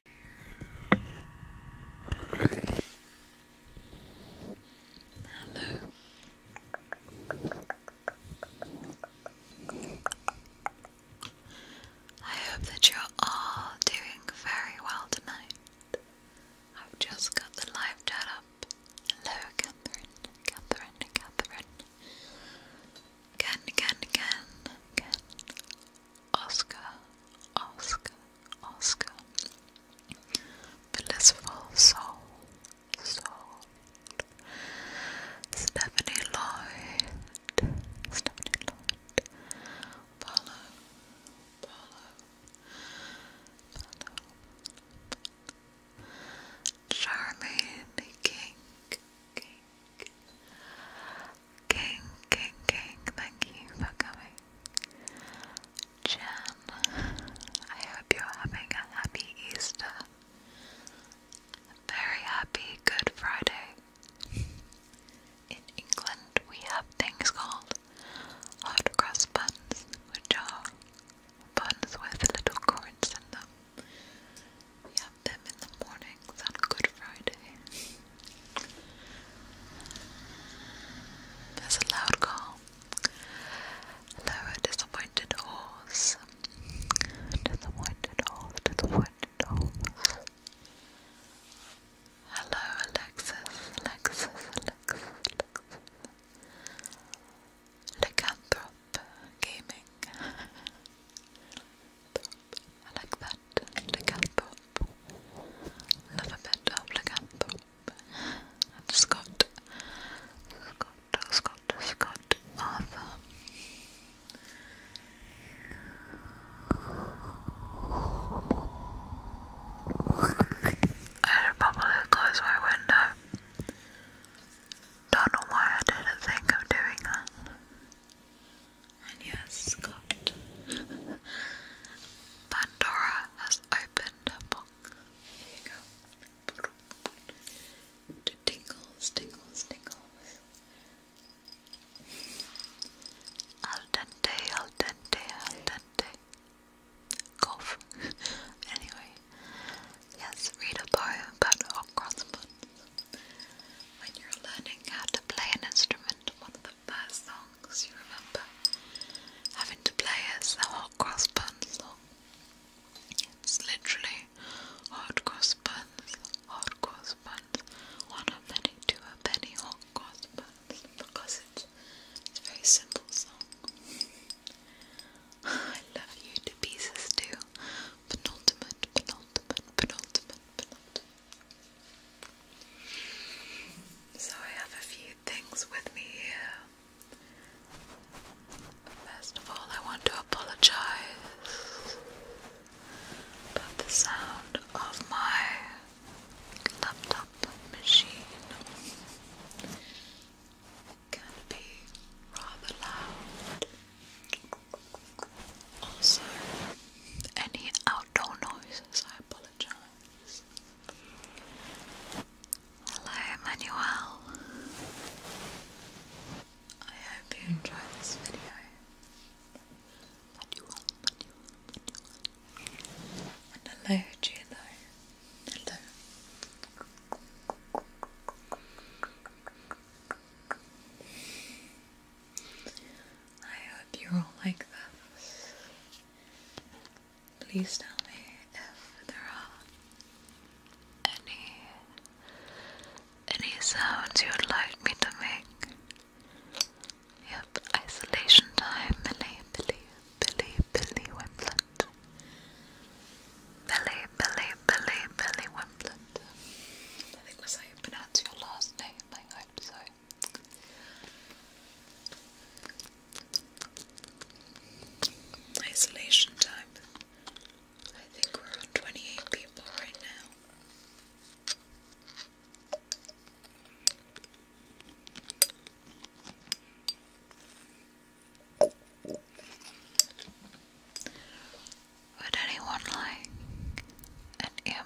Hello. I hope that you're all doing very well tonight. I've just got the live chat up. Hello, Catherine, Catherine, Catherine. Again, again, again, again. Oscar, Oscar, Oscar. Blissful soul, soul. Stephanie Lloyd, Stephanie Lloyd. Follow, follow, Charmaine King, King, King, King, thank you for coming. Jan, I hope you're having a happy Easter. very happy Good Friday. In England, we have things called hot cross buns, which are buns with little currants in them have them in the mornings on Good Friday. There's a loud call. Hello, disappointed horse. Disappointed horse, disappointed horse. Hello, Alexis, Alexis, Alexis, Alexis. Gaming. I like that. Lacanthrope. Love a bit of Lacanthrope. And Scott. Scott, Scott, Scott Arthur. I should probably close my window. Don't know why I didn't think of doing that. And yes, Scott. Pandora has opened her book. Here you go. To tingles, tingles, tingles. Al dente, al dente, al dente. Golf. anyway, yes, read a poem about a crossbow. When you're learning how to play an instrument, one of the first songs you remember having to play is the hot cross buns song. It's literally hot cross buns, hot cross buns, one of many, two of many hot cross buns because it's, it's a very simple song. I love you pieces too. Penultimate, penultimate, penultimate, penultimate. So I have a few things with me here. First of all, I want to apologize about the sound of my laptop machine. can be rather loud. Also, any outdoor noises, I apologize. Hello, Emmanuel. I hope you enjoy this video. Manuel, Manuel, Manuel. And hello to Hello. I hope you all like this. Please tell me if there are any any sounds you'd like me to make. Yep, isolation time, Millie, Billy, Billy, Billy Wimplet. Billy, Billy, Billy, Billy Wimplet. I think that's how you pronounce your last name, I hope so. Isolation time. I think we're on 28 people right now. Would anyone like an ear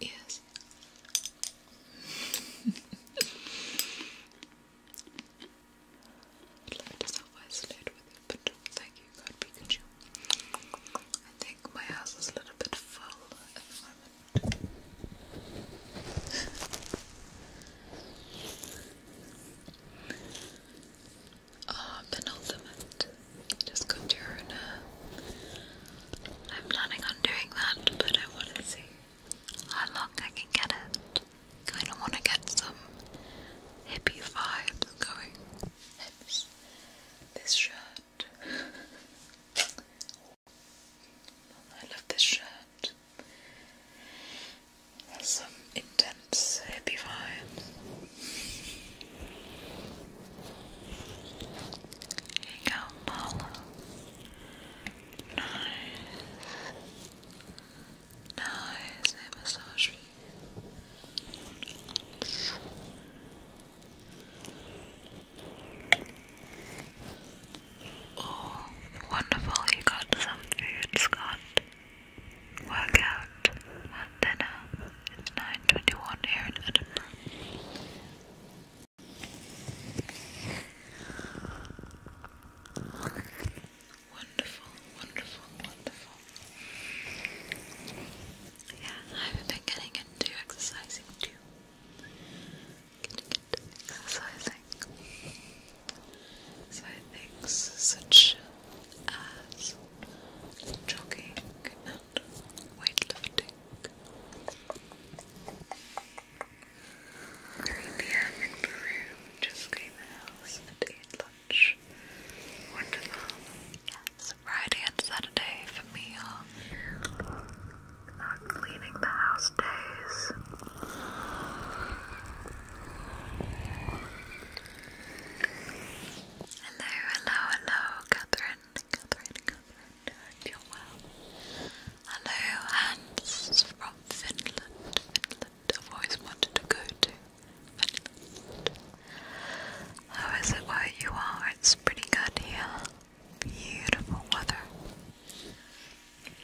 Yes. I'd like to self-isolate with you, but thank you, God Pikachu. I think my house is a little bit full at the moment. oh, penultimate. Just Conturina. Uh, I'm planning on doing that, but I want to see how long I can get it. Kind of want to get some hippie vibes going. Hips. This shirt. I love this shirt. Has some intense hippie vibes. You got follow. Nice. Nice. massage Oh, wonderful. You got some food, Scott. Workout dinner. It's 9.21 here in Edinburgh. Wonderful, wonderful, wonderful. Yeah, I've been getting into exercising too. Getting into exercising. So such as jogging and weightlifting. 3 p.m. in Peru, just came out and ate lunch. Wonderful. Yes, Friday and Saturday for me not cleaning the house days. Hello, hello, hello, Catherine. Catherine, Catherine, you well. Hello, Hans from Finland. Finland, I've always wanted to go to Finland. How is it where you are? It's pretty good here. Beautiful weather.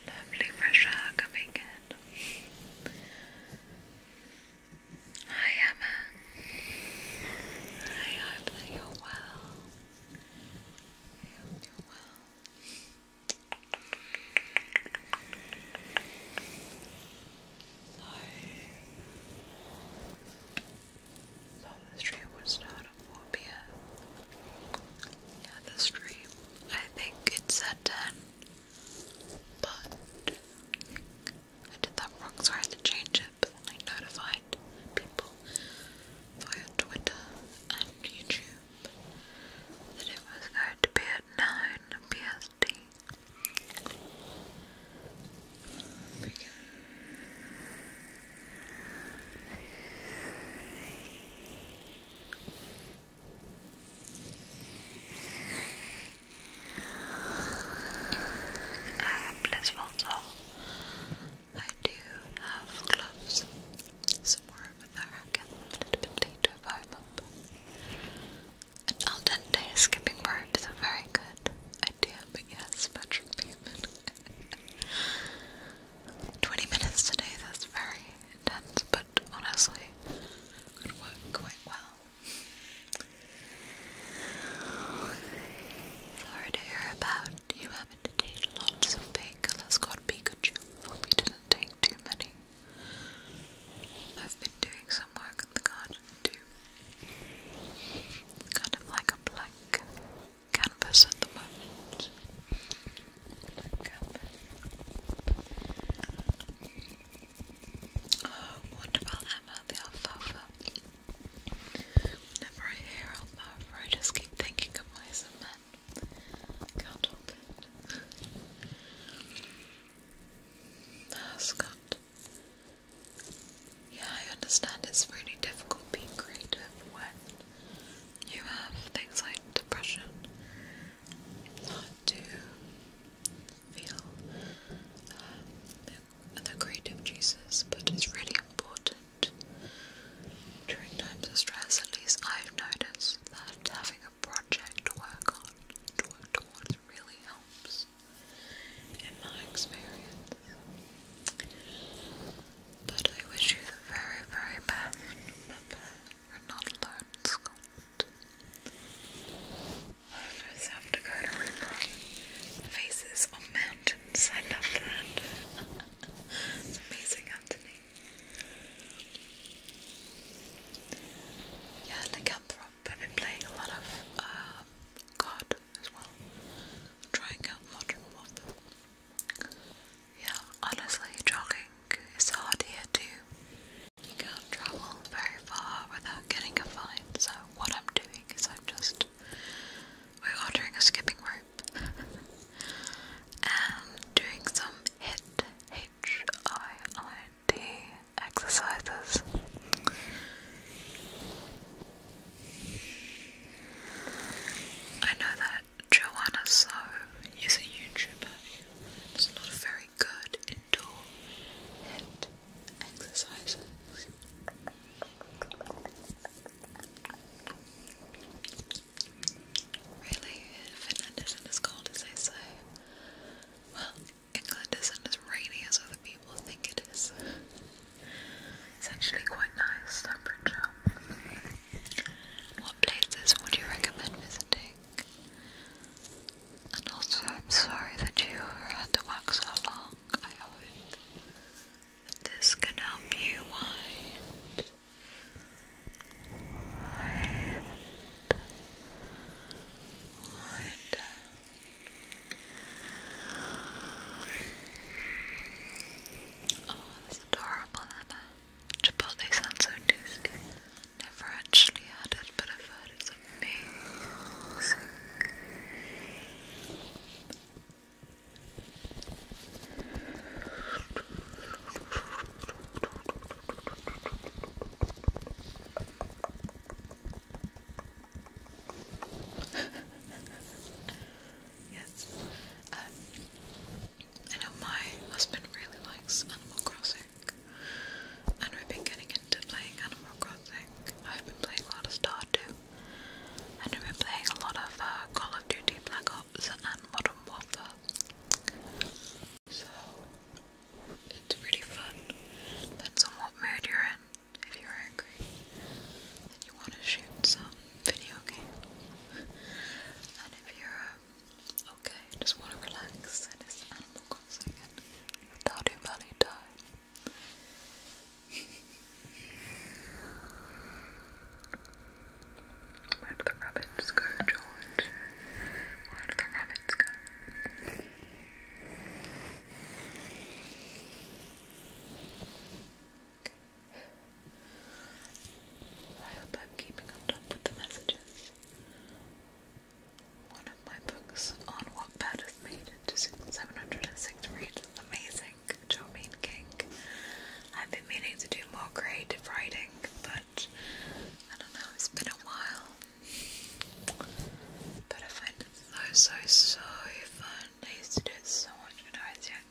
Lovely fresh air coming in. Hi Emma. I hope that well. I well. So, so the stream was not a phobia. Yeah, the stream. I think it's at 10, but I did that wrong, so I had to change it, I notified people via Twitter and YouTube that it was going to be at 9 PST. Ah, please, I do have gloves somewhere over there. a little bit later if I remember. And al dente skipping birds are very good idea, but yes, metric 20 minutes today, that's very intense, but honestly, could work quite well. Sorry to hear about you having to take lots of painkillers, God Pikachu. Hope you didn't take too many. I've been doing some work in the garden too. kind of like a blank canvas at the moment. Oh, what about Emma the alfalfa? Whenever I I just keep thinking of mice and men. help it. Mascot. Yeah, I understand it's really difficult being creative when you have things like depression. It's to feel um, the creative juices, but it's really important during times of stress. At least I've noticed that having a project to work on, to work towards, really helps in my experience. But I wish you the very, very best. you're not alone, Scott. I first have to go to remember faces on mountains. I love that. it's amazing, Anthony. Yeah, like been playing a lot of God uh, as well. trying out modern warfare. Yeah, honestly, jogging is hard here too. You can't travel very far without getting a fine, so what I'm doing is I'm just we're ordering a skipping rope and doing some HIT, H I I T exercises. I know that Joanna So is a YouTuber who's not very good indoor HIT exercises. Really, Finland isn't as cold as they say. Well, England isn't as rainy as other people think it is. It's actually quite nice What places would you recommend visiting? And also, I'm sorry that you had to work so long. I hope this can help you wind, wind, wind Oh, that's adorable, Anna. Chipotle sounds so tasty. Never actually had it, but I've heard it's amazing yes. Um, I know my husband really likes Animal Crossing, and we've been getting into playing Animal Crossing. I've been playing a lot of Stardew, and I've playing a lot of uh, Call of Duty Black Ops and Modern Warfare. So it's pretty fun. Depends on what mood you're in. If you're angry and you want to shoot some video game, and if you're um, okay, just want to relax, and it's Animal Crossing and Stardew Valley time. Where did the rabbits go, George? Where did the rabbits go? I hope I'm keeping on with the messages. One of my books on Wattpad has made it 706 reads. Amazing. Charmaine King. I've been meaning to do more creative writing, but I don't know, it's been a while. But I find it so, so, so fun. I used to do it so much when I was younger.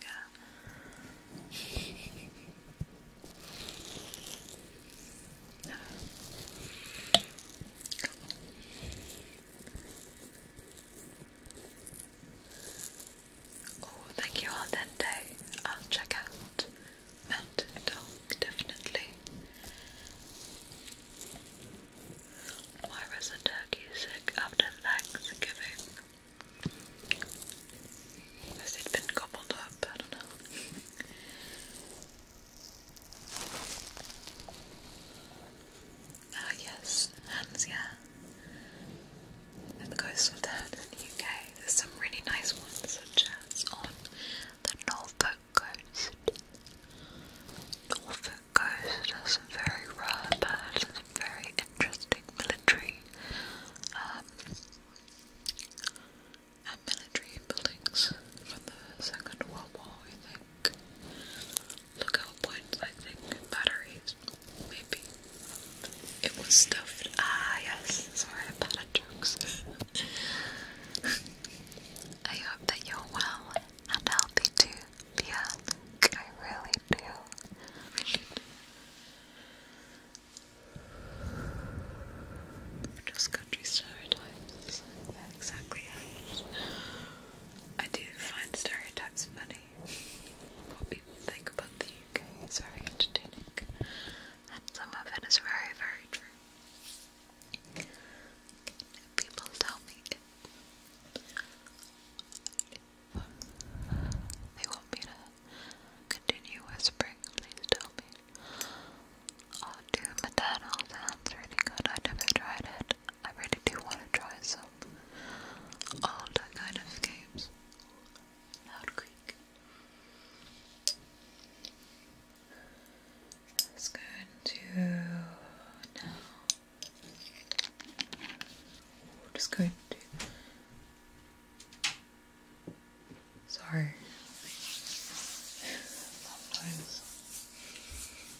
Oh, thank you all that day. I'll check out Mountain Dog, definitely. Why was the turkey sick after Thanksgiving? Has it been gobbled up? I don't know. Oh, yes, yeah. And the coast of the UK. There's some really nice ones such as on the Norfolk coast. Norfolk coast has some very rare birds and some very interesting military um, and military buildings from the Second World War I think lookout points, I think, batteries, maybe. It was stuffed. Ah, yes. Sorry about the jokes. I hope that you're well and healthy too, yeah. I really do. Just country stereotypes. exactly. I do find stereotypes funny. What people think about the UK very entertaining, and some of it is very, very true. People tell me they want me to continue whispering, please tell me. I'll oh, sounds really good. I've never tried it. I really do want to try some older kind of games. Loud creak. let now. just going to. Sorry.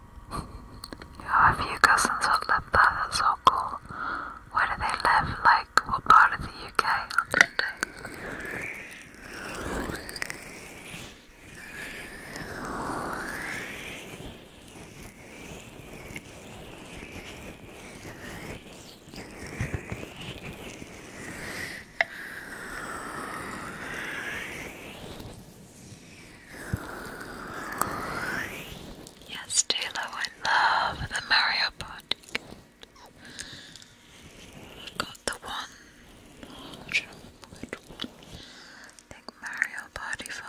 I have a few cousins have live there, that's so cool. Where do they live? Like, what part of the UK? Yes, Taylor, I love the Mario Party. got the one. think Mario Party 5.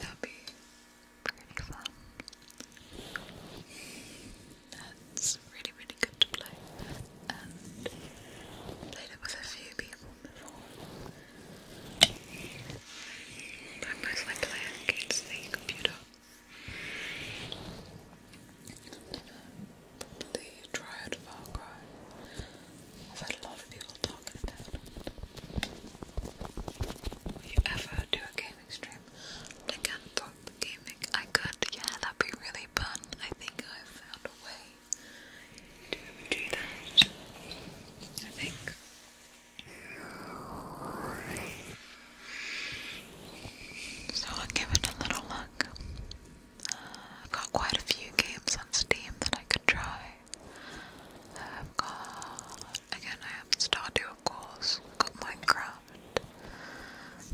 That'd be pretty fun. That's really, really good to play. Um, played it with a few people before. But I mostly play against the computer. I've probably tried I've had a lot of people talking about it. Will you ever do a gaming stream? I talk gaming. I could, yeah, that'd be really fun. I think I've found a way to do that, I think. So I'll give it a little look. Uh, I've got quite a few games on Steam that I could try. I've got, again, I have Stardew, of course. I've got Minecraft,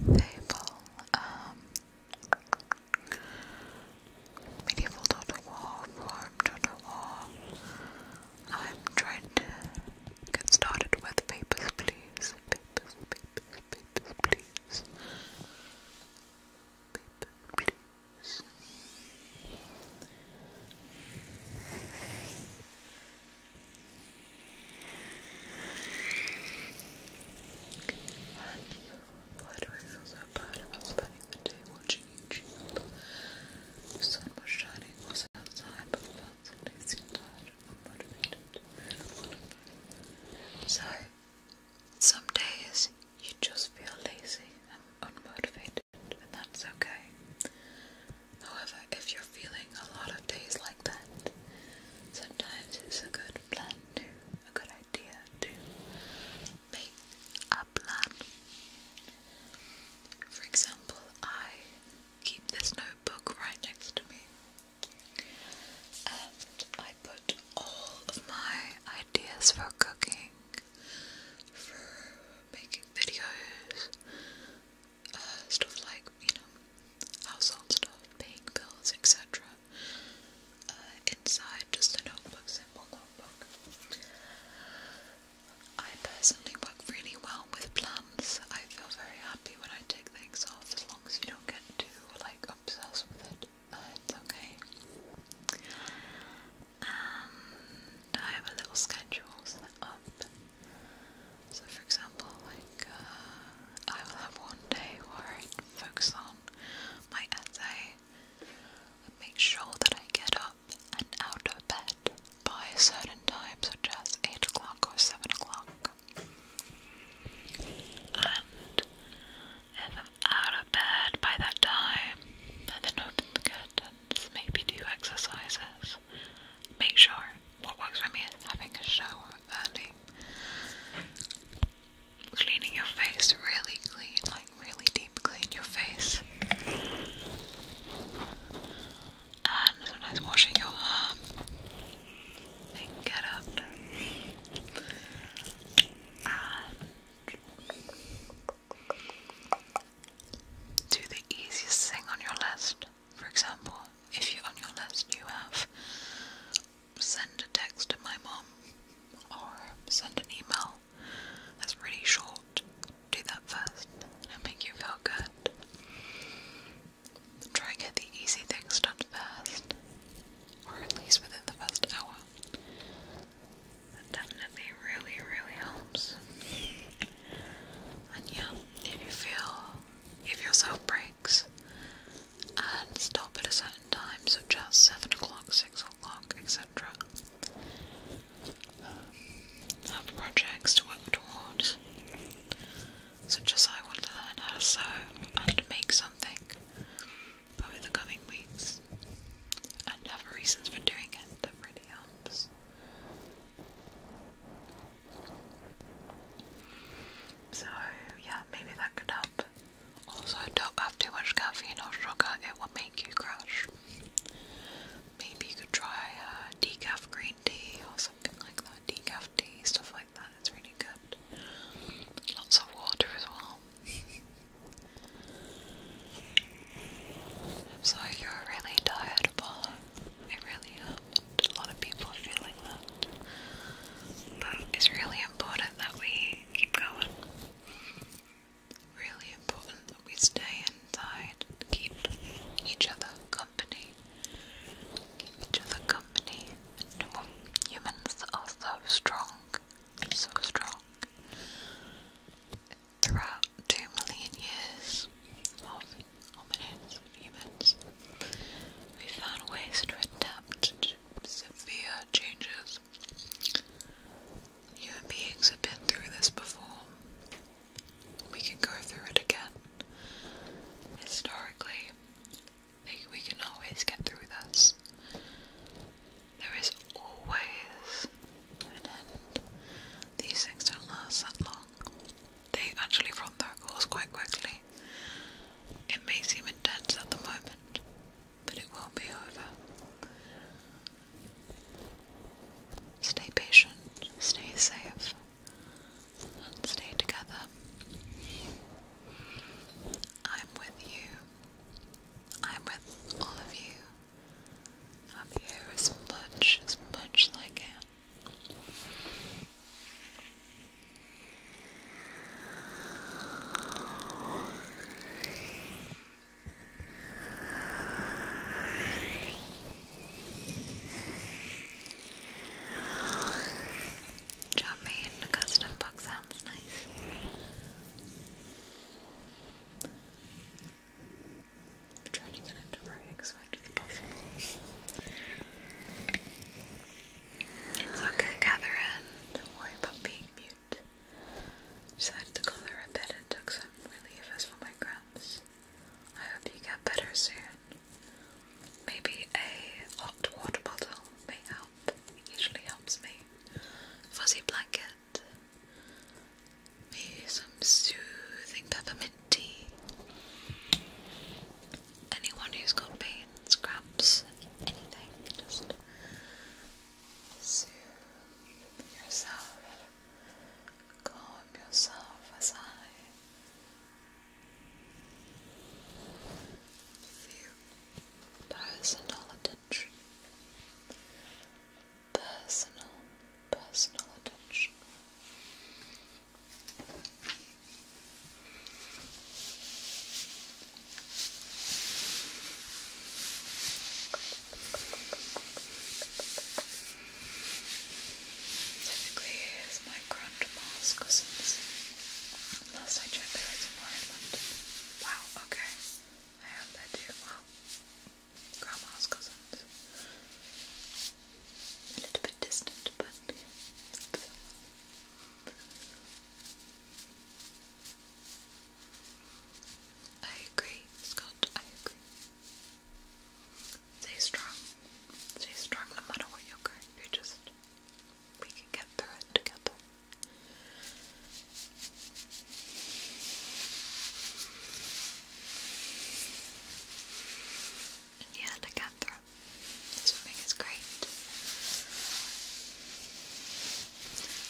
Fable, um, Medieval total war, Rome total war. I'm trying to get started with papers, please. Papers, papers, papers, please. Why do I feel so bad about spending the day watching YouTube? The sun was shining, outside, but felt suddenly seemed and unmotivated. So, some days you just feel lazy and unmotivated, and that's okay. However, if you're feeling a lot of days like that, sometimes it's a good plan to, a good idea to make a plan. For example, I keep this notebook right next to me and I put all of my ideas for cooking, for making videos, uh, stuff like, you know, household stuff, paying bills, etc. Uh, inside just a notebook, simple notebook. I personally work really well with plans. I feel very happy when I take things off as long as you don't get too like obsessed with it. Uh, it's okay. And I have a little schedule set up. So, for example, like uh, I will have one day where I focus on my essay, make sure that I get up and out of bed by a certain time, such as 8 o'clock or 7 o'clock. And if I'm out of bed by that time, then open the maybe do exercises. Make sure what works for me is having a shower early cleaning your face really clean, like really deep clean your face. And sometimes washing your hair. get up. And do the easiest thing on your list. For example, if you on your list you have send a text to my mom or send an email that's pretty short. Do that first I'll make you feel good. Try get the easy things done first, or at least within the first hour. That definitely really, really helps. And yeah, if you feel, give yourself breaks and stop at a certain time, such as 7 o'clock, six o'clock, um, Have projects to work towards, such as I want to learn how to sew and make something over the coming weeks, and have reasons for doing it that really helps. So, yeah, maybe that could help also, don't have too much caffeine or sugar, it will make you crash. Maybe you could try uh, decaf green tea or something like that. Decaf tea, stuff like that, it's really good. Lots of water as well. I'm sorry you're really tired, Apollo. I really am. A lot of people are feeling that. But it's really important that we keep going. Really important that we stay inside and keep each other company. each other company. humans are so strong, so strong. Throughout two million years of hominids, humans, we found ways to adapt severe changes. Human beings have been through this before. We can go through it again. Historically, we can always get through this. There is always an end. These things don't last that long. They actually run their course quite quickly. It may seem intense at the moment, but it won't be over. Stay patient, stay safe, and stay together. I'm with you. I'm with all of you. I'm here as much, as much I can. Jumping into custom book sounds nice. I'm trying to get it to writing so I can It's okay, Catherine. Don't worry about being music. Decided to call a bit and took some relievers for my cramps. I hope you get better soon. Maybe a hot water bottle may help. usually helps me. Fuzzy blanket. Maybe some soothing peppermint tea. Anyone who's got pains, cramps, anything, just soothe yourself, calm yourself as I give personal attention. Personal, personal attention. Typically, it's my grandma's cousins. Last I checked, they were more in London. Wow, okay. I hope they do well. Grandma's cousins. A little bit distant, but. I agree, Scott, I agree. Stay strong. Stay strong no matter what you're going through, just we can get through it together. And yeah, the Canthra. Swimming is great.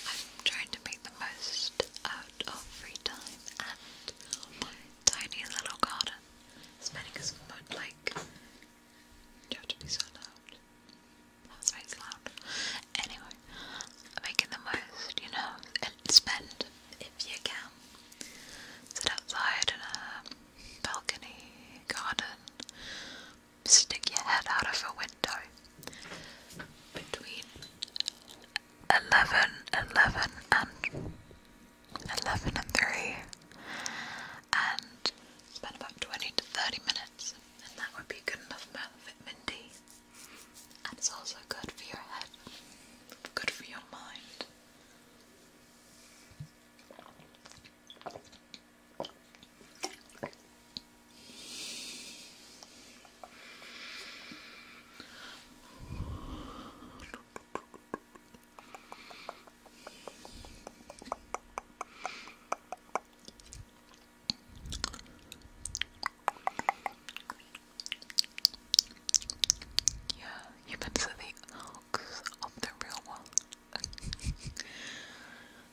I'm trying to make the most out of free time and my tiny little garden. spending making us mood like you have to be so loud. That's why it's loud. Anyway, making the most, you know, and spend if you can. Sit outside in a balcony, garden, stick your head out of a window between 11, and 11 and 3 and spend about 20 to 30 minutes and that would be good enough amount and it's also good for your head, good for your mind. Yeah, you better the arcs of the real one.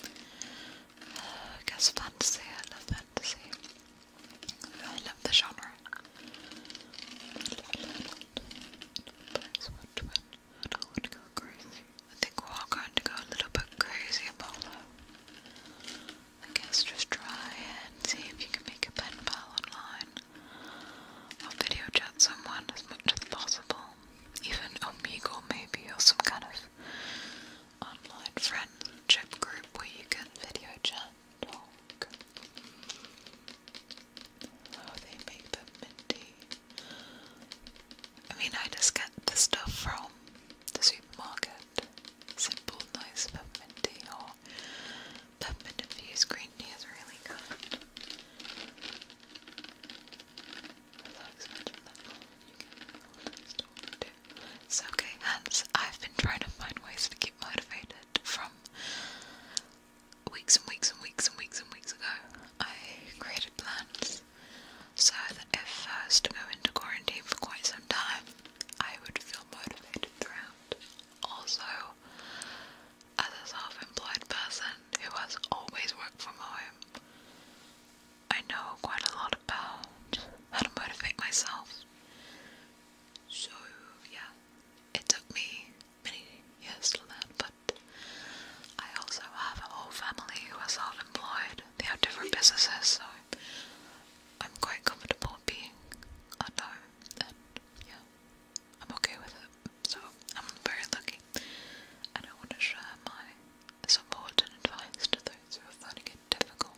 I guess fantasy, I love fantasy. I love the genre. I think we're all going to go a little bit crazy, Apollo. I guess just try and see if you can make a pen pal online. I'll video chat someone as much as possible. Even Omegle maybe, or some kind of online friendship group where you can video chat oh, I mean, I just get the stuff from the supermarket. Simple, nice peppermint tea or peppermint infused green tea is really good. It's okay, Hans. I've been trying to find ways to keep motivated from weeks and weeks and weeks and weeks and weeks ago. I created plans so that if I to go into quarantine for quite some time, I would feel motivated throughout. Also, as a self employed person who has always worked from home, I know quite a lot about how to motivate myself. So, yeah, it took me many years to learn, but I also have a whole family who are self employed. They have different businesses, so I'm quite comfortable being alone, and yeah, I'm okay with it. So, I'm very lucky. And I want to share my support and advice to those who are finding it difficult.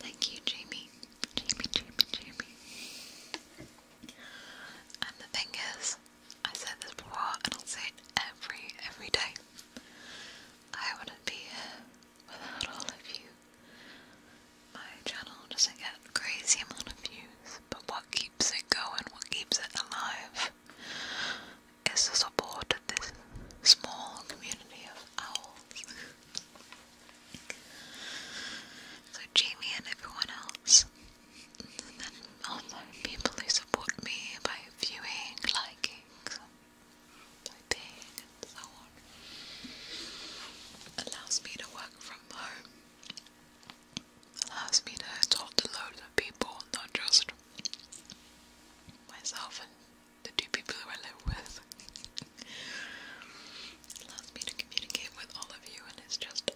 Thank you, Jamie. Jamie, Jamie, Jamie. And the thing is, I said this before and I'll say it every, every day. I wouldn't be here without all of you my channel doesn't get a crazy amount of views, but what keeps it going, what keeps it alive, is the support of this small community of owls. so Jamie and everyone else, and then people who support me by viewing, liking, by paying, and so on, allows me to work from home allows me to talk to loads of people, not just myself and the two people who I live with. allows me to communicate with all of you, and it's just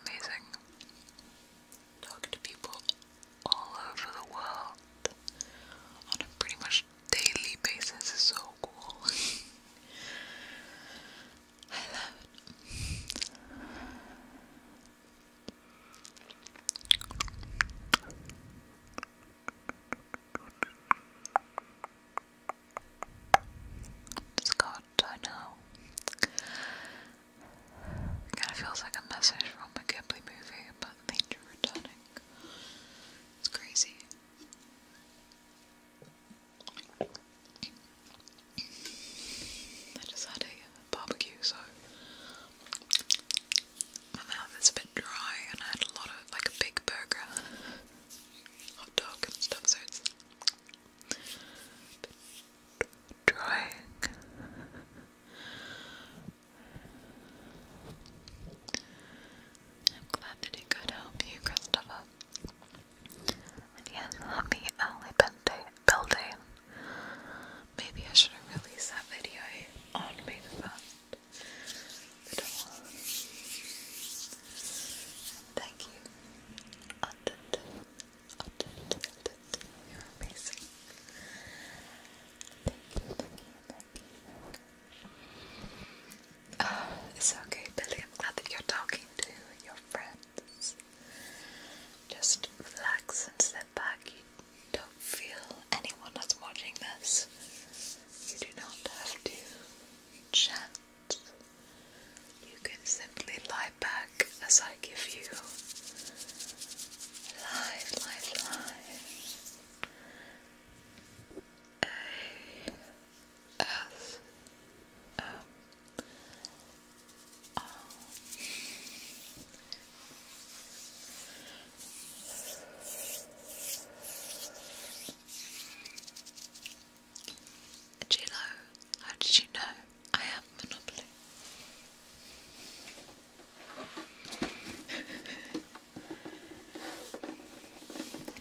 amazing. Talk to people all over the world on a pretty much daily basis is so cool. I love it. Scott, I know. Kind of feels like a message from a Ghibli movie about nature returning. It's crazy. I just had a barbecue, so my mouth is a bit dry, and I had a lot of like a big burger, hot dog, and stuff, so it's drying. I'm glad that it could help you, Christopher yes, happy early birthday, Maybe I should have released that video on May Thank you. You're amazing. thank you. it's okay, Billy. I'm glad that you're talking to your friends. Just relax and step back. You don't feel anyone that's watching this. You do not have to chant. You can simply lie back as I give you. Lie, lie, lie. A as um, um, Gino, how did you know I have Monopoly?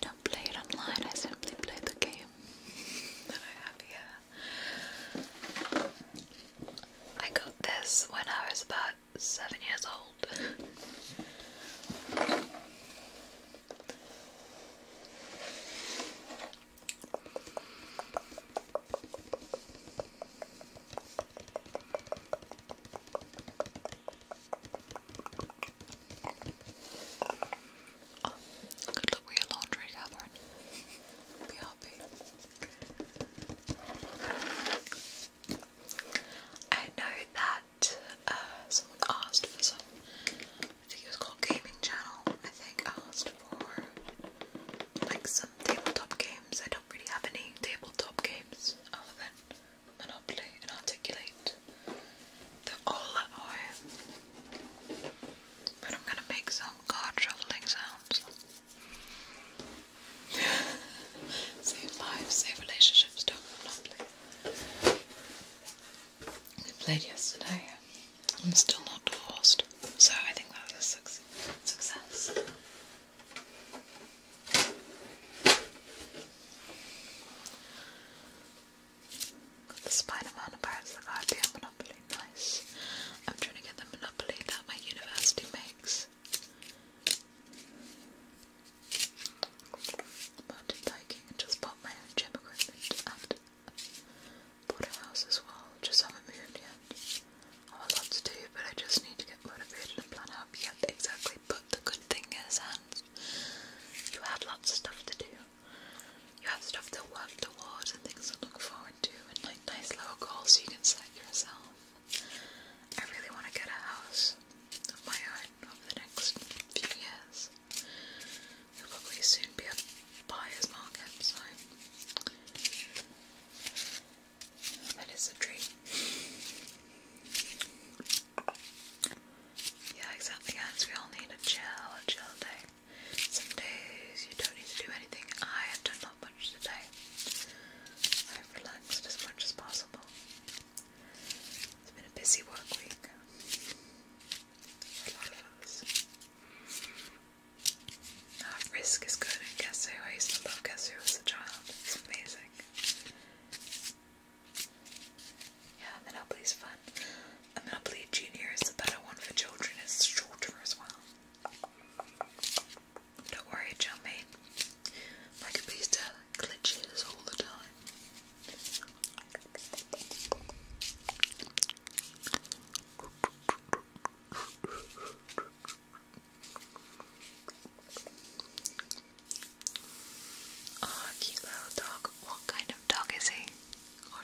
do online, I simply played the game that I have here. I got this when I was about seven years old good luck with your laundry, Catherine. Be happy. I know that uh, someone asked for some. I think it was called Gaming Channel. I think asked for like some tabletop games. I don't really have any tabletop games other than Monopoly and Articulate. They're all but I'm gonna make some card shuffling sounds. save lives, save relationships, don't monopoly. We played yesterday. I'm still not divorced, so I think that was a success the Spider-Man and Pirates of the Monopoly, nice. I'm trying to get the Monopoly that my university makes. Mountain biking and just bought my own gym equipment and bought a house as well, just haven't moved yet. I have a oh, to do, but I just need to get motivated and plan out. exactly. But the good thing is, and you have lots of stuff to do. You have stuff to work towards and things to look forward to, and like nice little goals you can set yourself. I really want to get a house of my own over the next few years. It'll probably soon be a buyer's market, that is a dream. Yeah, exactly, guys. We all need a chill, a chill day. Some days you don't need to do anything. I have done not much today. I've relaxed as much as possible. It's been a busy work week for a lot of us. Risk is good Guess Who. I used to love Guess Who as a child. It's amazing. Yeah, and then i fun. I believe Junior is the better one for children, it's shorter as well. Don't worry, John My computer glitches all the time. Oh, cute little dog. What kind of dog is he or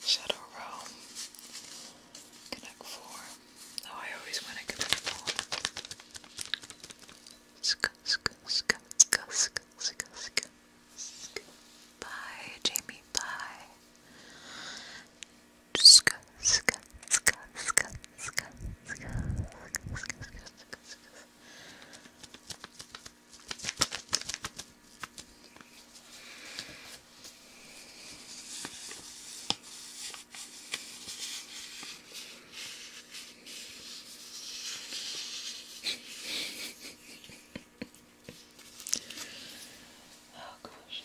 Shadow Realm. Connect four. Oh, I always want to connect four. Sk sk sk sk sk sk sk Bye, Jamie. Bye. Sk sk sk sk sk sk oh gosh.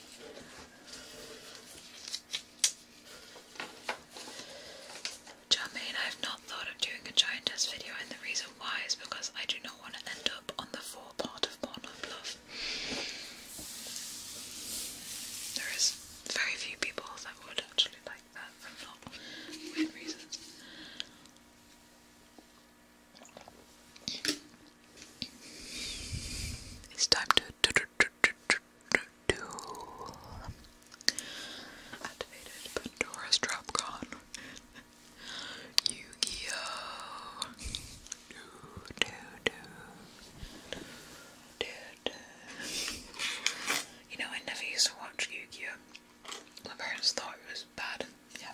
I have not thought of doing a giantess video, and the reason why is because I do not want to end up on the full part of Pornhub Love. There is very few people that would actually like that, for not weird reasons. It's time to activated Pandora's Dropcon. Yu-Gi-Oh! Do, do, do. Do, do. You know, I never used to watch Yu-Gi-Oh! My parents thought it was bad. Yeah,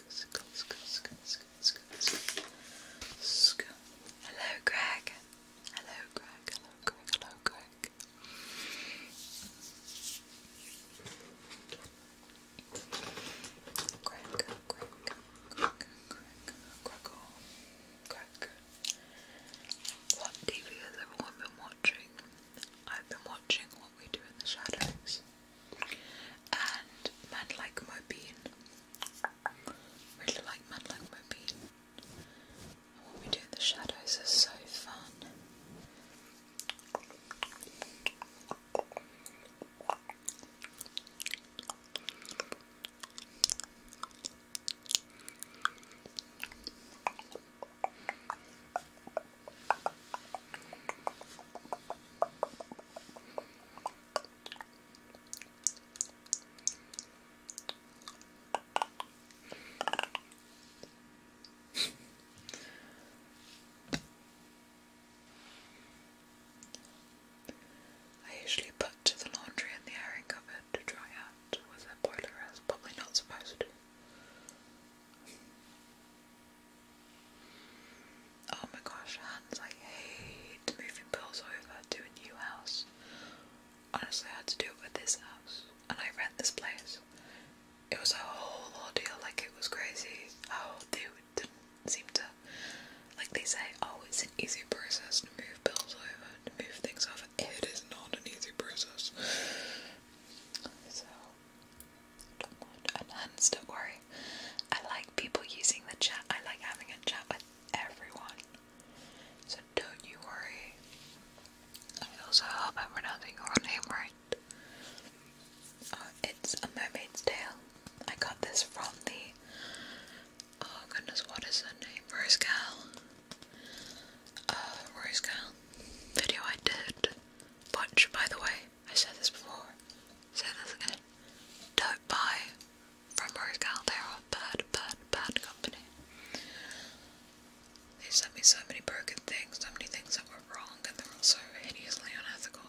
Hello, Greg. Hello, Greg. Hello, Greg. Hello, Greg. Greg, Greg, Greg, Greg, What TV has everyone been watching? I've been watching What We Do in the Shadows and Man Like Mo Bean. Really like Man Like Mo Bean. what we do in the shadows is so fun. I usually put the laundry in the airing cupboard to dry out with a boiler as probably not supposed to. Oh my gosh, hands, I hate moving bills over to a new house. Honestly, I had to do it with this house, and I rent this place. It was a whole ordeal, like it was crazy how they didn't seem to. Like they say, oh, it's an easy process to move bills over, to move things over. It is not an easy process. So, don't worry. I like people using the chat. I like having a chat with everyone. So don't you worry. I also hope I'm pronouncing your name right. Oh, it's a mermaid's tail. I got this from the oh goodness, what is her name? Rose Gal. Uh Rose Gal video I did. Watch by the way. I said this before, say this again. Don't buy from Rose Caldera, bad, bad, bad company. They sent me so many broken things, so many things that were wrong, and they were so hideously unethical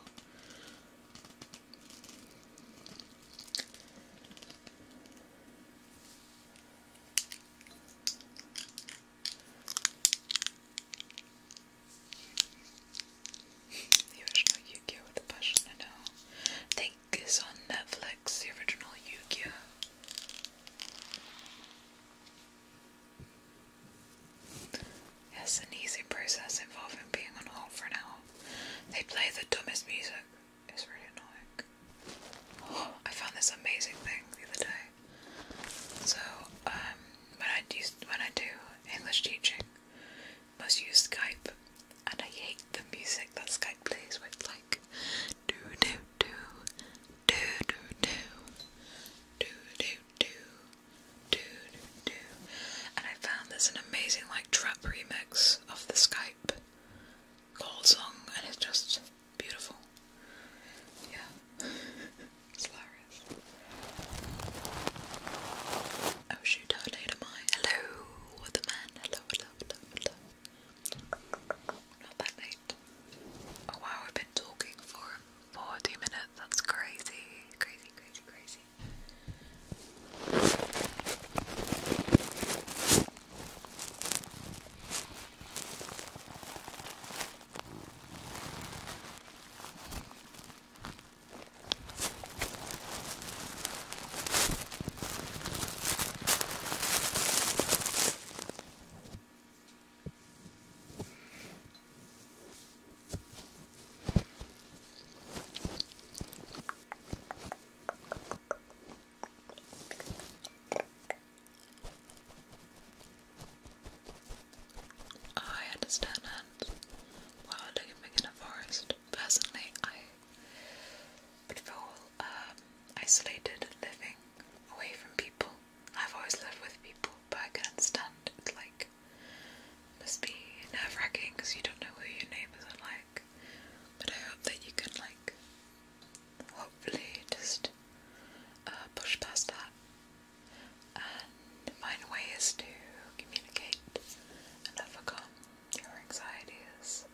the original Yu-Gi-Oh! with the think it's on Netflix, the original Yu-Gi-Oh! It's an easy process involving being on hold for an hour. They play the dumbest music. It's really annoying. I found this amazing thing the other day. So, um, when I do, when I do English teaching, must use Skype, and I hate the music that Skype plays with, like do do do do do do do do do do do. And I found there's an amazing like trap remix of the Skype call song, and it's just beautiful. Yeah. It's hilarious. Oh shoot, tornado mine. Hello, waterman. Hello, hello, hello, hello. Not that late. Oh wow, I've been talking for 40 minutes. That's crazy. Crazy, crazy, crazy. I understand now while living in a forest. Personally, I would um, isolated living away from people. I've always lived with people, but I can not stand it. like must be nerve wracking because you don't know who your neighbours are like. But I hope that you can like hopefully just uh, push past that and find ways to communicate and overcome your anxieties.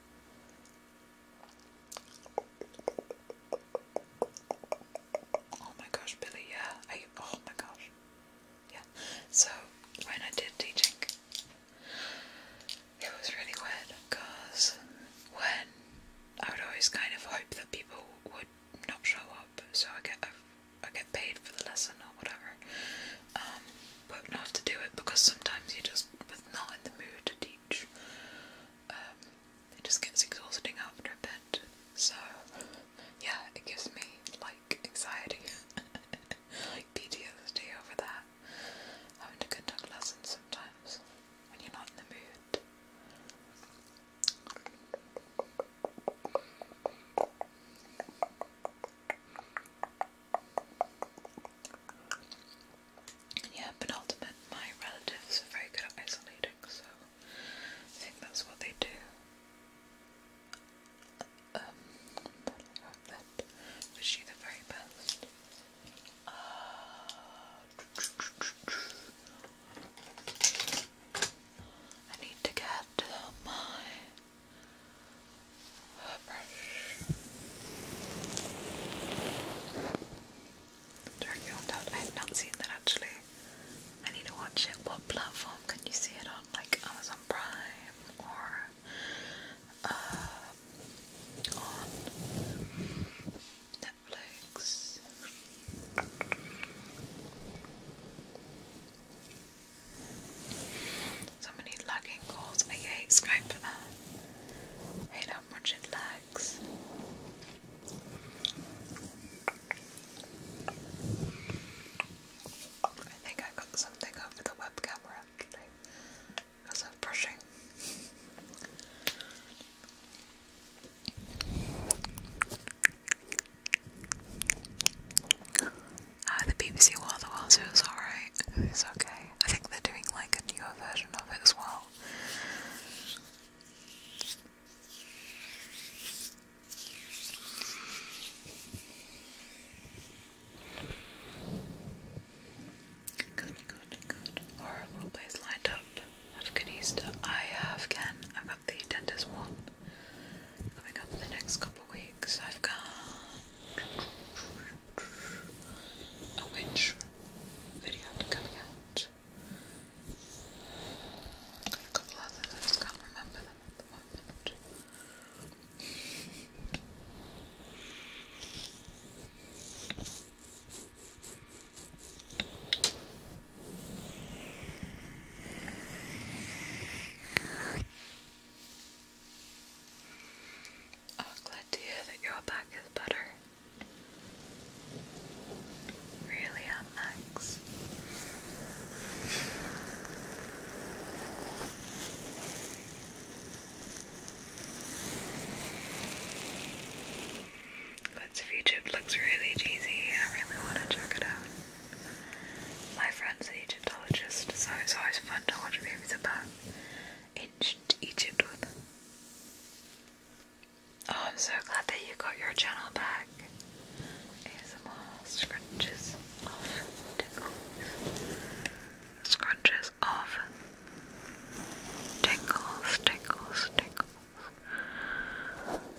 Oh my gosh, Billy, yeah. oh my gosh. Yeah. So, when I did teaching, it was really weird because when I would always kind of hope that people would not show up, so I get a I get paid for the lesson or whatever. Um, but I to do it because sometimes you're just not in the mood to teach. Um, it just gets exhausting after a bit. So yeah, it gives me like anxiety, like PTSD over that. Having to conduct lessons sometimes when you're not in the mood. Yeah, penultimate, my relatives are very good at isolating, so I think that's what they do. Um, but I hope that you the very best. Uh, I need to get my brush. Turkey on Doubt. I have not seen that actually. I need to watch it. What platform can you see it on? Like Amazon Prime or uh, on Netflix? So many lagging calls. I hate Skype that. hate how much it lags. I think I got something over the web camera actually I'm brushing. Ah, the BBC World of Wales is alright. It's okay. I think they're doing like a newer version of it as well. Good, good, good. Horrible place lined up. Have a good Easter. I have Ken. I've got the dentist one. Coming up in the next couple weeks, I've got a witch video coming out. a couple others, I just can't remember them at the moment. I oh, was glad to hear that your back is better. Really am, Max. God's looks really cheesy. I really want to check it out. My friend's an Egyptologist, so it's always fun to watch movies about ancient Egypt Oh, I'm so glad that you got your channel back. scrunches off tingles. Scrunches off tingles, tingles, tingles.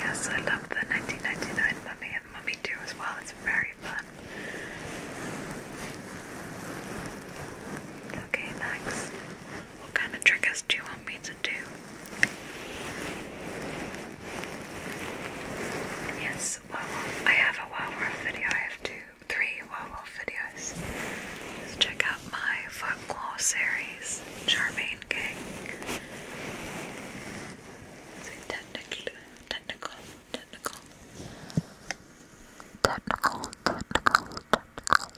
Yes, I love the 1999 Mummy and Mummy 2 as well. It's very fun. Okay, next. What kind of triggers do you want me to do? Yes, well, I have a werewolf video. I have two, three werewolf videos. check out my folklore series, Charmaine King. technical, technical, technical, technical, technical,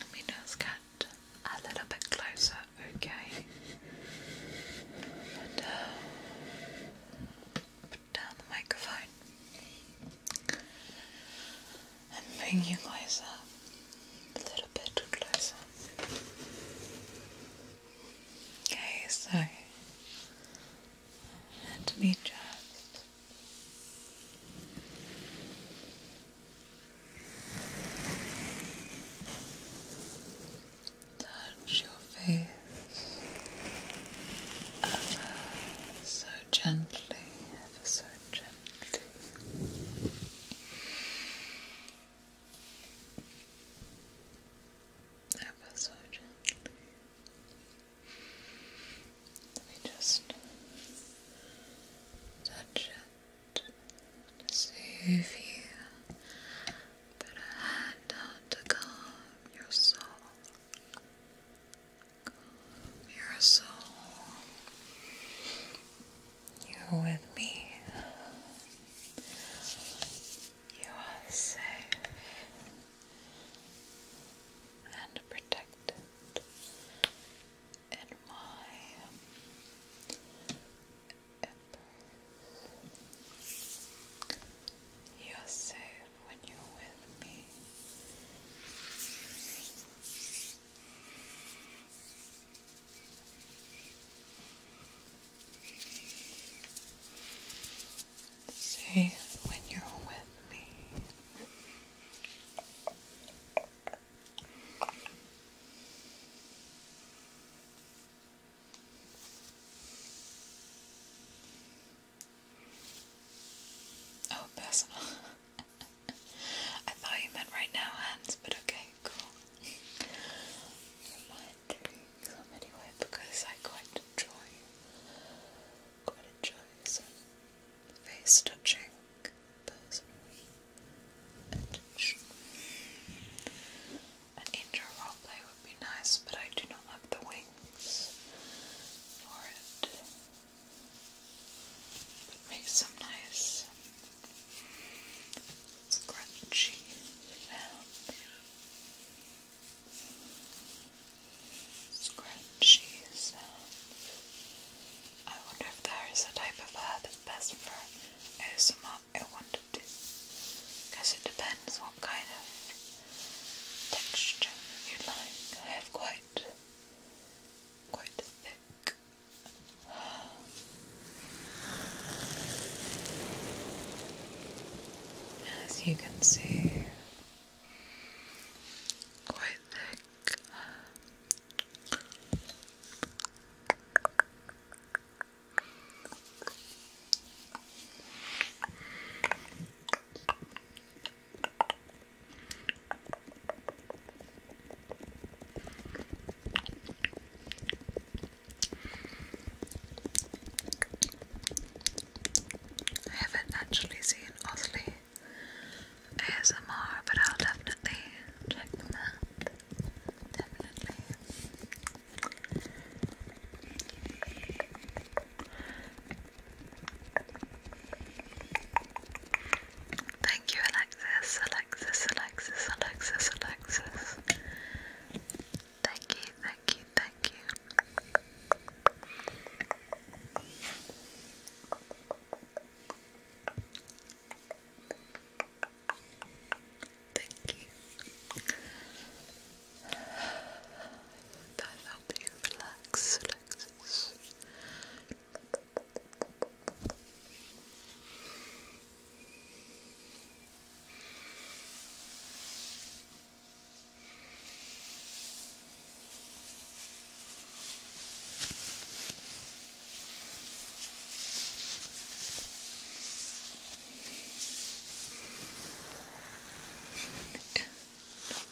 Let me just get a little bit closer, okay? Uh, put down the microphone and bring you closer, a little bit closer. Okay, so let me just Touch your face ever so gently, ever so gently. Ever so gently. Let me just touch it see if you put a hand out to calm your soul. your soul. You're with me. You are safe and protected in my embrace. You are safe when you're with me say when you're with me. Oh, personal. I thought you meant right now, hands, but okay, cool. I might do anyway because I quite enjoy quite enjoys face touching personally attention. An indoor roleplay would be nice, but I do not have the wings for it. make some nice scrunchy sound. Scrunchy uh, I wonder if there is a type of hair that's best for ASMR. I wonder to. it depends what kind of texture you like. I have quite, quite thick. As you can see, quite thick. I haven't actually seen Osley ASMR, but I'll definitely check them out. Definitely. Thank you, Alexis, Alexis, Alexis, Alexis, Alexis. Thank you, thank you, thank Thank you. Thank you. That helped you relax, relax.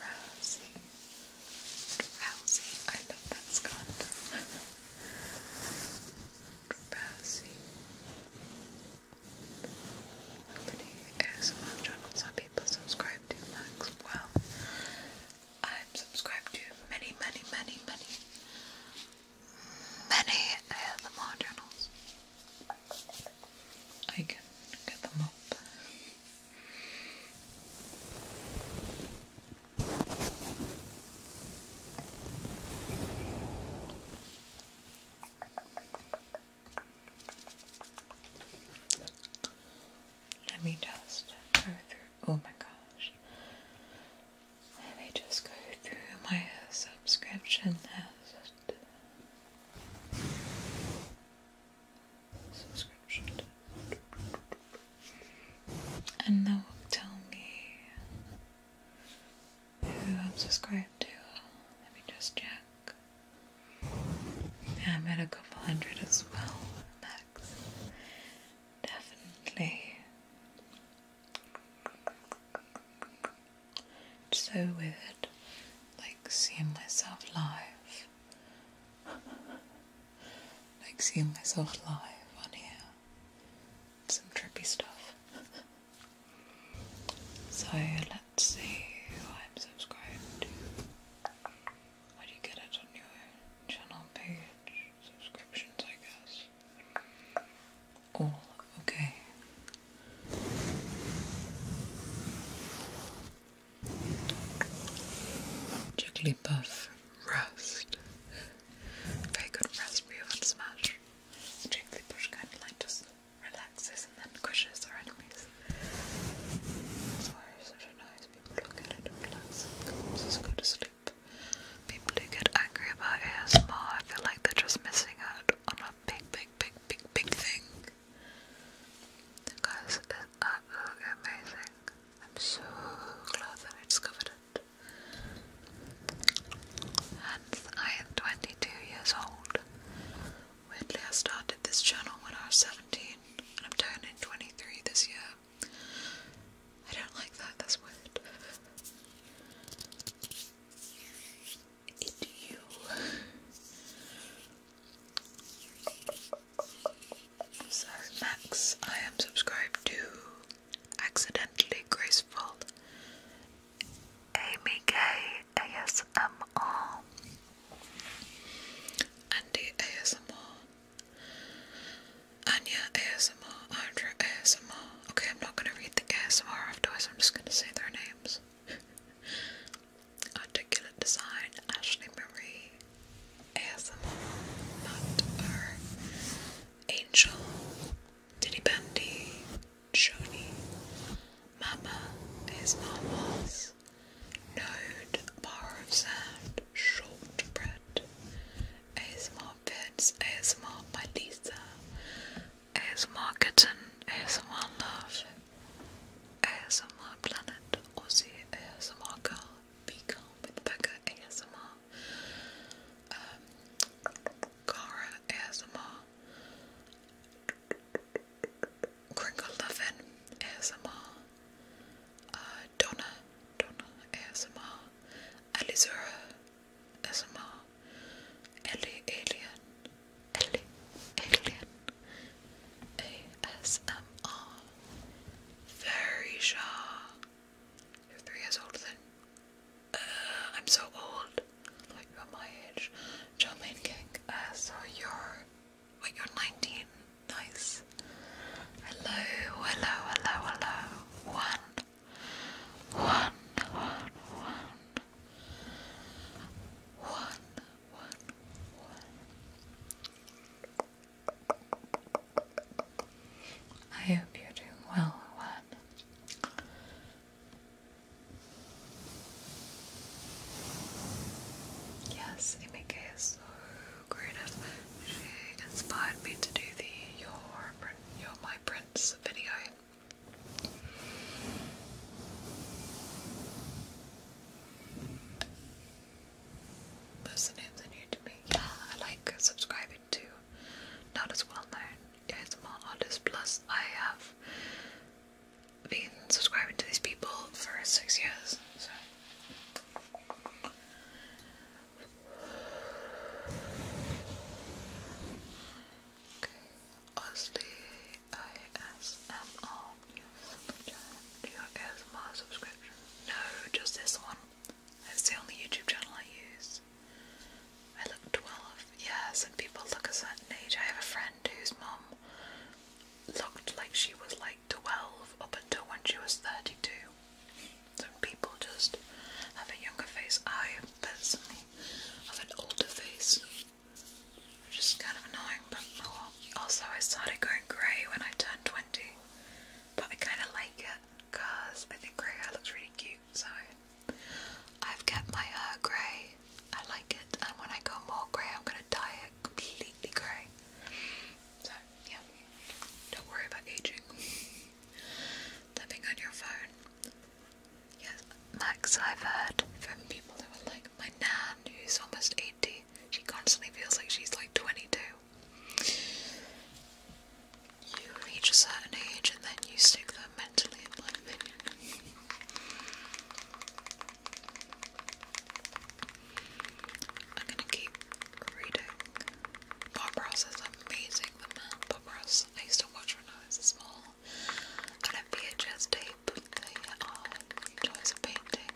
Rousey. Rousey. I love that Scott. Rousey. How many ASMR channels are people subscribe to Max. Well, I'm subscribed to many, many, many, many, many ASMR channels. I can get them up. Let me just go through. Oh my gosh. Let me just go through my subscription list. Subscription. And that will tell me who I'm subscribed to. Let me just check. I'm at a couple hundred as well, max. Definitely. So weird, like seeing myself live. like seeing myself live on here. Some trippy stuff. so let's Let's see I'm subscribed to. do you get it on your channel page? Subscriptions, I guess. oh, okay. Jigglypuff roast. Very good recipe of a smash. Jigglypuff kind of like just relaxes and then crushes our enemies. Fire is such a People don't get Just go to sleep. People get angry about ASMR, I feel like they're just missing out on a big, big, big, big, big thing. Because it's amazing. I'm so glad that I discovered it. And I am 22 years old. Weirdly, I started this channel when I was 17 and I'm turning 23 this year. I don't like that, that's weird. It you. So, Max, I am subscribed to Accidentally Graceful Amy K ASMR. Andy ASMR, Anya ASMR, Andrew ASMR. Okay, I'm not gonna read the ASMR afterwards, I'm just gonna say their names. Articulate Design, Ashley Marie, ASMR, Matt R, Angel, Diddy Bandy, Shoni, Mama is Mamas, Node, bar of sand, shortbread, ASMR Vids, ASMR by ASMR Kitten, ASMR Love, ASMR Planet, Aussie ASMR Girl, Be with Becca ASMR, um, Cara ASMR, Crinkle Lovin ASMR, uh, Donna, Donna ASMR, Alizura ASMR, Ellie Alien, Ellie Alien ASMR, Very Shaw. You're three years older than. Uh, I'm so old. Like my age. Charmaine King, uh, you're 19. Nice. Hello, hello, hello, hello. One. One, one, one. One, one, one. I hope you're doing well, one. Yes, in my so creative. She inspired me to do the Your, Your My Prince video. Listening to new to me. Yeah, I like subscribing to not as well known ASMR artists. Plus, I have been subscribing to these people for six years, Okay, Osley ASMR. Do you have ASMR subscription? No, just this one. It's the only YouTube channel I use. I look 12. Yeah, some people look a certain age. I have a friend whose mum looked like she was like 12 up until when she was 32. So people just have a younger face. I personally have an older face, which is kind of annoying, but Also, I started going grey when I turned 20, but I kind of like it because I think grey hair looks really cute, so I've kept my hair grey. I like it, and when I go more grey, I'm gonna dye it completely grey. So yeah, don't worry about aging. Tapping on your phone. Yes, Max, I've heard from people who are like my nan, who's almost 80. She constantly feels like she's like 22. You reach a certain age and then you stick them mentally in my opinion. I'm gonna keep reading. Bob Ross is amazing, the man. Bob Ross, I used to watch when I was small on a VHS tape. They are toys of painting.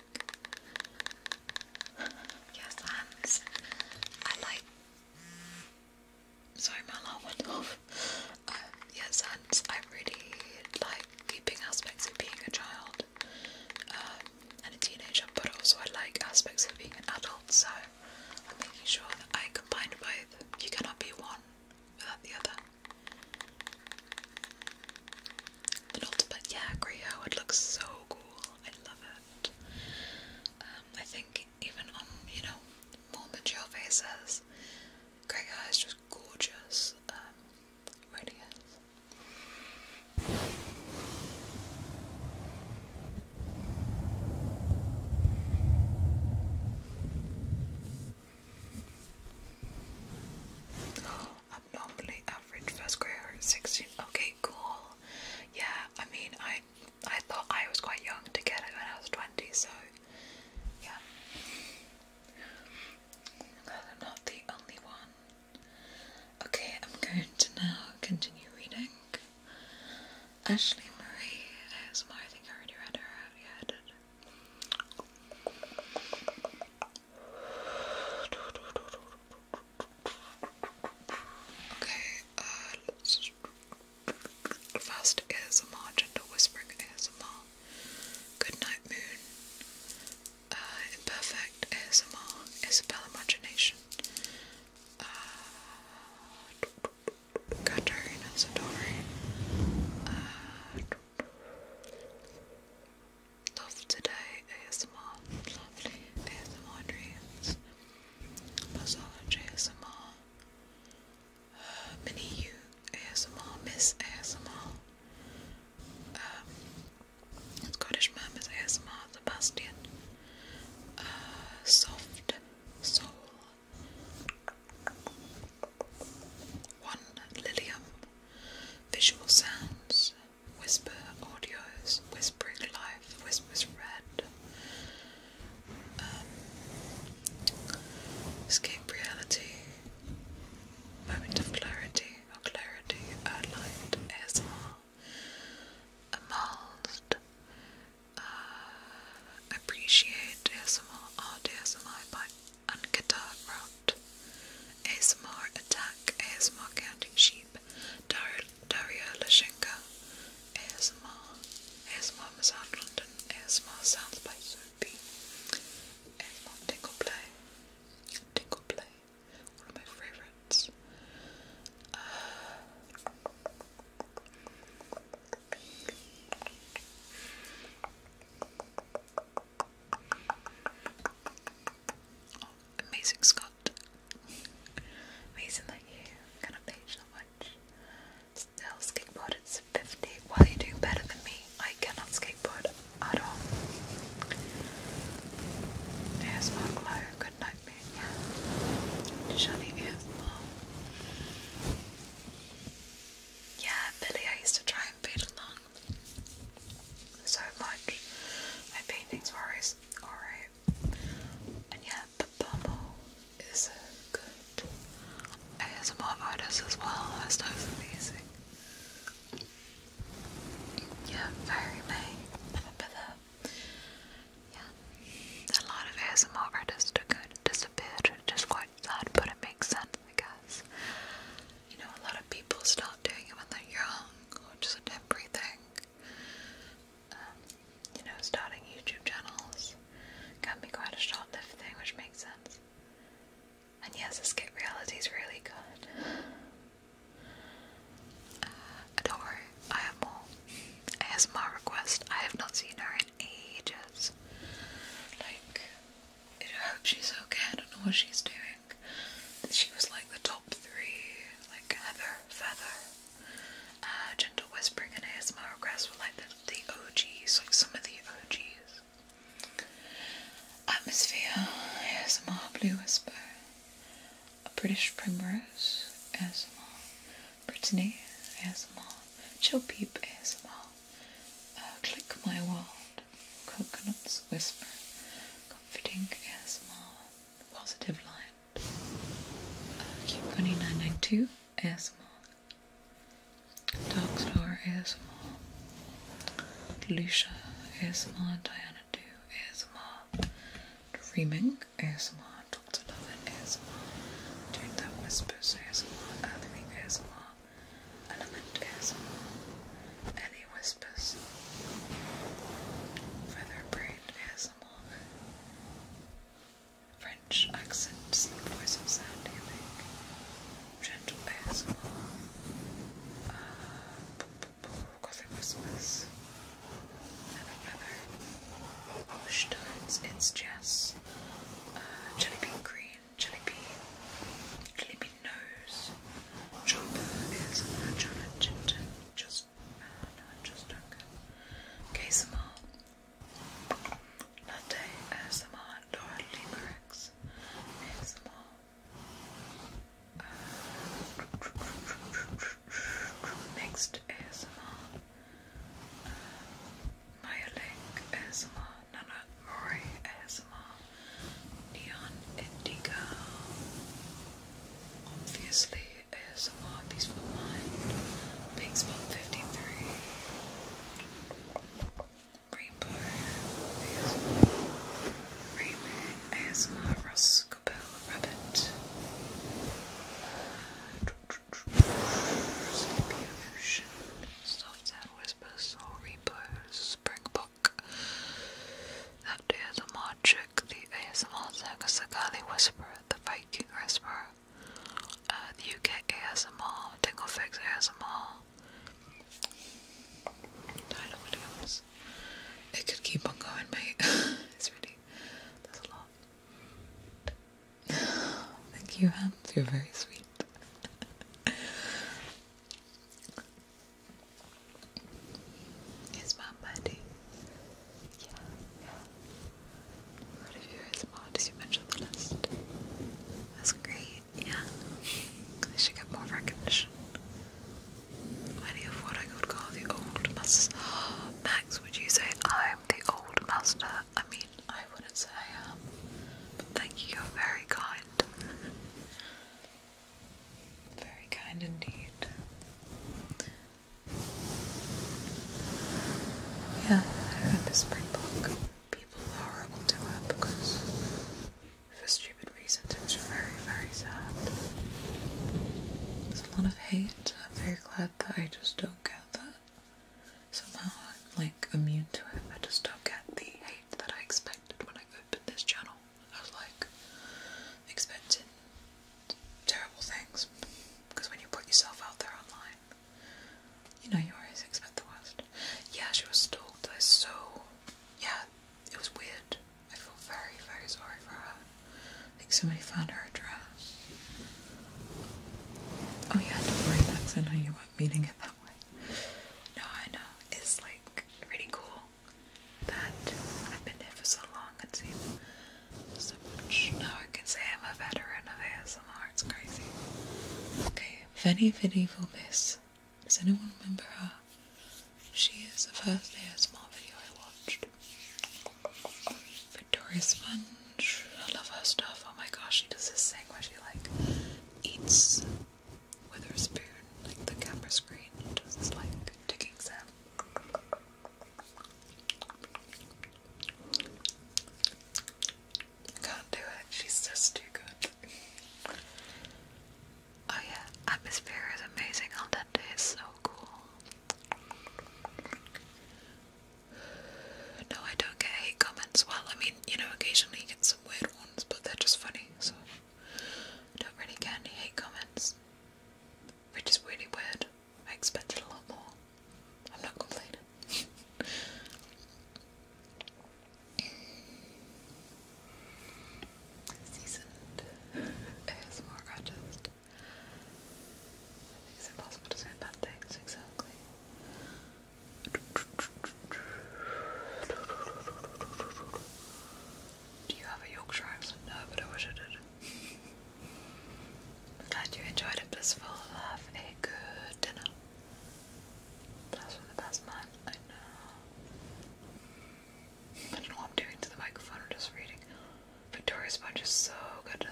yes, hands. I like. Sorry, my alarm went off. Um, yes, hands. I really like keeping aspects of being a child. Um, and a teenager, but also I like aspects of being an adult, so I'm making sure that I combine both. You cannot be one without the other. An yeah, grey hair would look so cool. I love it. Um, I think even on, you know, more mature faces, grey hair just gorgeous. Um, really Abnormally average first grader at 16. Okay, cool. Yeah, I mean, I I thought I was quite young to get it when I was 20, so yeah. I'm not the only one. Okay, I'm going to now continue reading. Ashley Marie ASMR, I think I already read her out. Yeah, Okay, uh, let's. Fast Whispering ASMR, Goodnight Moon, uh, imperfect ASMR Isabel Imagination, uh, Katarina uh, Love Today ASMR, Lovely ASMR Dreams, Massage ASMR, uh, Mini U ASMR, Miss ASMR, um, Scottish Murmurs ASMR, Sebastian, uh, Soft Soul, One Lilium, Visual Sounds, Whisper Audios, Whispering Life, Whispers Red, um, Escape Reality, Moment of Clarity, more clarity, I ASMR amongst uh, appreciate ASMR ASMR by Unguitar Rot ASMR Attack ASMR Counting Sheep Dar Dario ASMR ASMR Miss London ASMR Sounds by Soapy ASMR Tickle Play Tickle Play one of my favorites. Uh, Amazing Scott. Amazing that you kind of page much. Still skateboard, it's 50. Why you doing better than me? I cannot skateboard at all. There's my good night, man. Shiny ears, Yeah, Billy, I used to try and paint along so much. My paintings were always alright. And yeah, the bubble is a good ASMR artist as well. That's nice and amazing. Yeah, very may. Uh, yeah. A lot of ASMR artists are kind of disappeared, which is quite sad, but it makes sense, I guess. You know, a lot of people stop doing it when they're young, which is a temporary thing. Um, you know, starting YouTube channels can be quite a short lived thing, which makes sense. And yes, Escape Reality is really good. Uh, don't worry, I have more ASMR requests. I have not seen her in ages. Like, I hope she's okay. I don't know what she's doing. She was like the top three, like Heather, Feather, uh, Gentle Whispering, and ASMR requests were like the, the OGs, like some of the OGs. Atmosphere, ASMR, Blue Whisper a British Primrose asmall. Brittany asmall. Chill Peep ASMR, Click My World, Coconuts Whisper, Comforting asmall. Positive Light, uh, Cubecony992 ASMR, Dark Star ASMR, Lucia ASMR, Diana Do ASMR, Dreaming ASMR, Dr. Lovin ASMR, Doing That Whispers ASMR, Earthly ASMR, Element ASMR, Ellie Whispers, Feather Braid ASMR, French accents, voice of sound gentle ASMR, uh, book Christmas. And my brother Hochstein's, it's just uh, green, jelly bean, nose. Chopper is chocolate ginger, just, uh, just drunk. Quesamar, latte, ASMR, Laura Limericks, ASMR, Next ASMR, uh, Maya Link ASMR, Nana Mori ASMR, Neon Indigo, obviously ASMR, Peaceful Mind, Pink Spot 53, Rainbow ASMR. Raymond ASMR Ross Rabbit. Sleepy Ocean. Soft Sound Whisper Soul Repose Springbook. That day the Magic, the ASMR Sagasakali Whisperer, the Viking Whisperer, the UK ASMR, Tinglefix ASMR. I don't know what it is. It could keep on going, mate. it's really, that's a lot. Thank you, Hans. You're very sweet. Is my buddy? Yeah, What if you're as mod as you mentioned the list? That's great, yeah. They should get more recognition. Many of what I could call the old masters. Max, would you say I'm the old master? I mean, I wouldn't say I am. thank you, you're very kind. very kind indeed. Yeah, I read this spring book. People are horrible to her because for stupid reasons. It was very, very sad. There's a lot of hate. I'm very glad that I just don't get that. Somehow I'm like immune to it. I just don't get the hate that I expected when I opened this channel. I was like expecting terrible things because when you put yourself out there online, you know you always expect the worst. Yeah, she was stalked. I so yeah, it was weird. I feel very, very sorry for her. I think somebody found her address. Oh, yeah, don't worry, Max. I know you weren't meaning it that way. No, I know. It's like really cool that I've been here for so long and seen so much. Now I can say I'm a veteran of ASMR. It's crazy. Okay, Vinny Vinny Vobis. Does anyone remember her? She is the first ASMR video I watched. Victoria Sponge. I love her stuff. Oh my gosh, she does this thing where she like eats with her spoon, like the camera screen does this like ticking sound. can't do it. She's just too good. Oh yeah, Atmosphere is amazing. Oh, Aldente is so cool. No, I don't get hate comments. Well, I mean, you know, occasionally you get some weird ones, but they're just funny, so I don't really get any hate comments. Which is really weird. I expected a lot more. I'm not complaining. seasoned ASMR artist. I it's impossible to say bad things exactly. Do you have a Yorkshire No, but I wish I did. glad you enjoyed it, blissful. Have a good dinner. Bless from the best man I know. I don't know what I'm doing to the microphone, I'm just reading. Victoria Sponge is so good.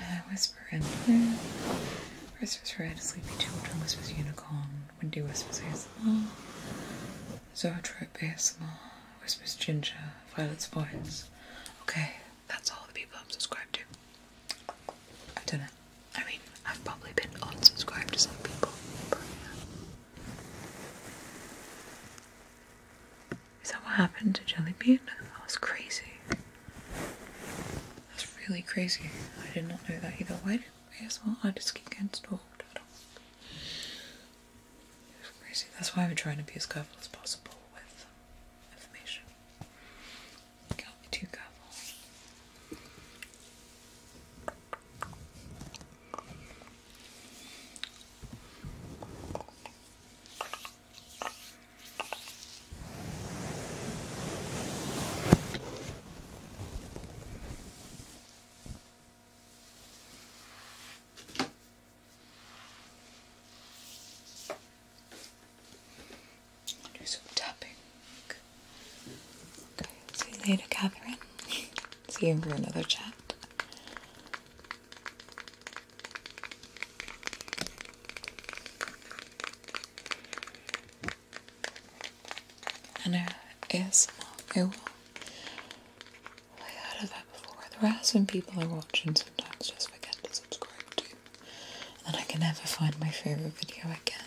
Uh, whisper in blue. Whispers red, sleepy children, whispers unicorn, windy whispers ASMR, zoetrope ASMR, whispers ginger, violet's voice. Okay, that's all the people I'm subscribed to. I've done it. I mean, I've probably been unsubscribed to some people, is that what happened to Jellybean? That was crazy. That's really crazy. I did not know that either. Why did we as well? I just keep getting stalked. I It's crazy. That's why I'm trying to be as careful as possible with information. can't be too careful. Do some tapping. see you later, Catherine. See you for another chat. And it is it I heard of that before. There are people I watch and sometimes just forget to subscribe to. And I can never find my favourite video again.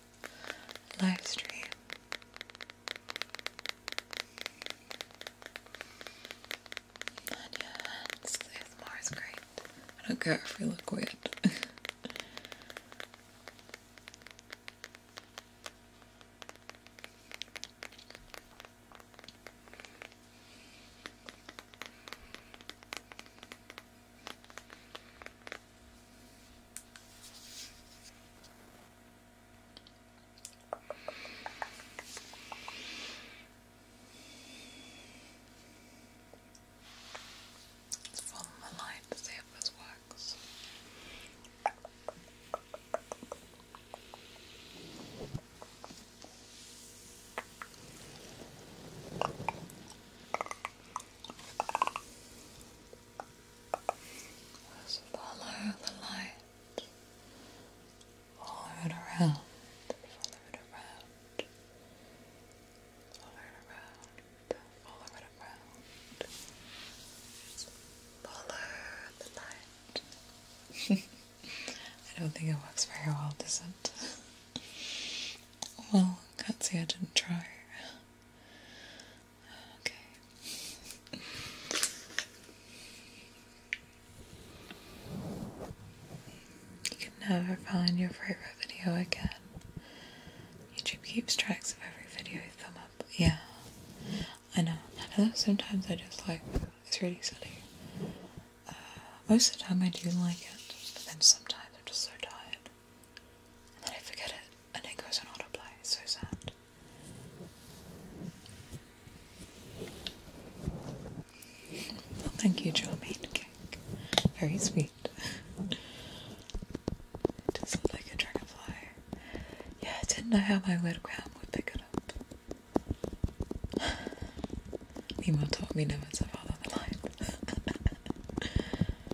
live stream. And your hands, the great. I don't care if you look weird. Let's follow my line to see if this works. Just follow the light. Follow it around. Follow it around. Follow it around. Follow it around. Follow the light. I don't think it works very well, does it? Well, can't say I didn't try. You can never find your favorite video again. YouTube keeps tracks of every video you thumb up. Yeah, I know. sometimes I just like it's really silly. Uh, most of the time I do like it, but then sometimes I'm just so tired. And then I forget it, and it goes on autoplay. It's so sad. thank you, Charmaine Cake. Very sweet. it like a dragonfly. Yeah, I didn't know how my webcam would pick it up. Nemo taught me never to follow the light.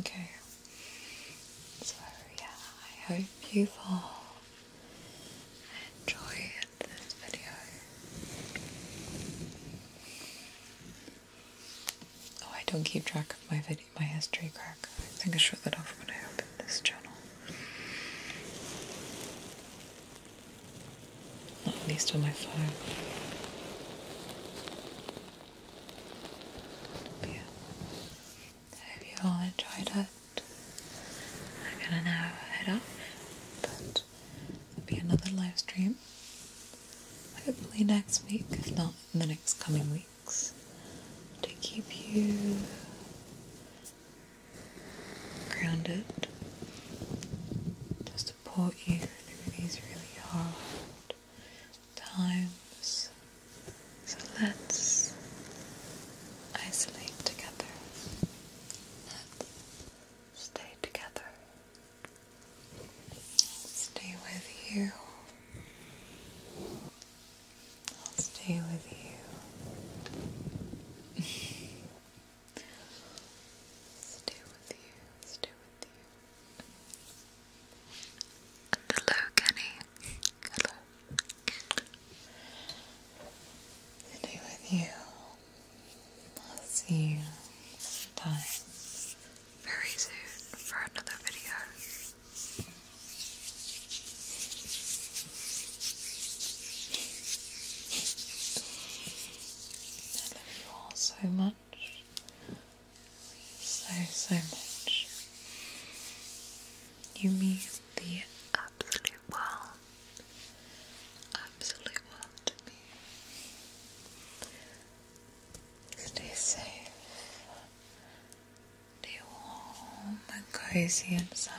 okay. So, yeah, I hope you all enjoy this video. Oh, I don't keep track of my video, my history crack. I think I shut that off when I opened this channel. Not at least on my phone. I hope you all enjoyed it. I'm gonna now head off, but there'll be another live stream. Hopefully next week, if not in the next coming weeks, to keep you grounded, to support you through these really hard times. So let's isolate together. Let's stay together. Stay with you. I'll stay with you. stay with you. Stay with you. Hello, Kenny. Hello. Today with you. I'll see you very soon for another video. I love you all so much. So, so much. You mean the absolute world. Absolute world Stay safe. Stay warm and cozy inside.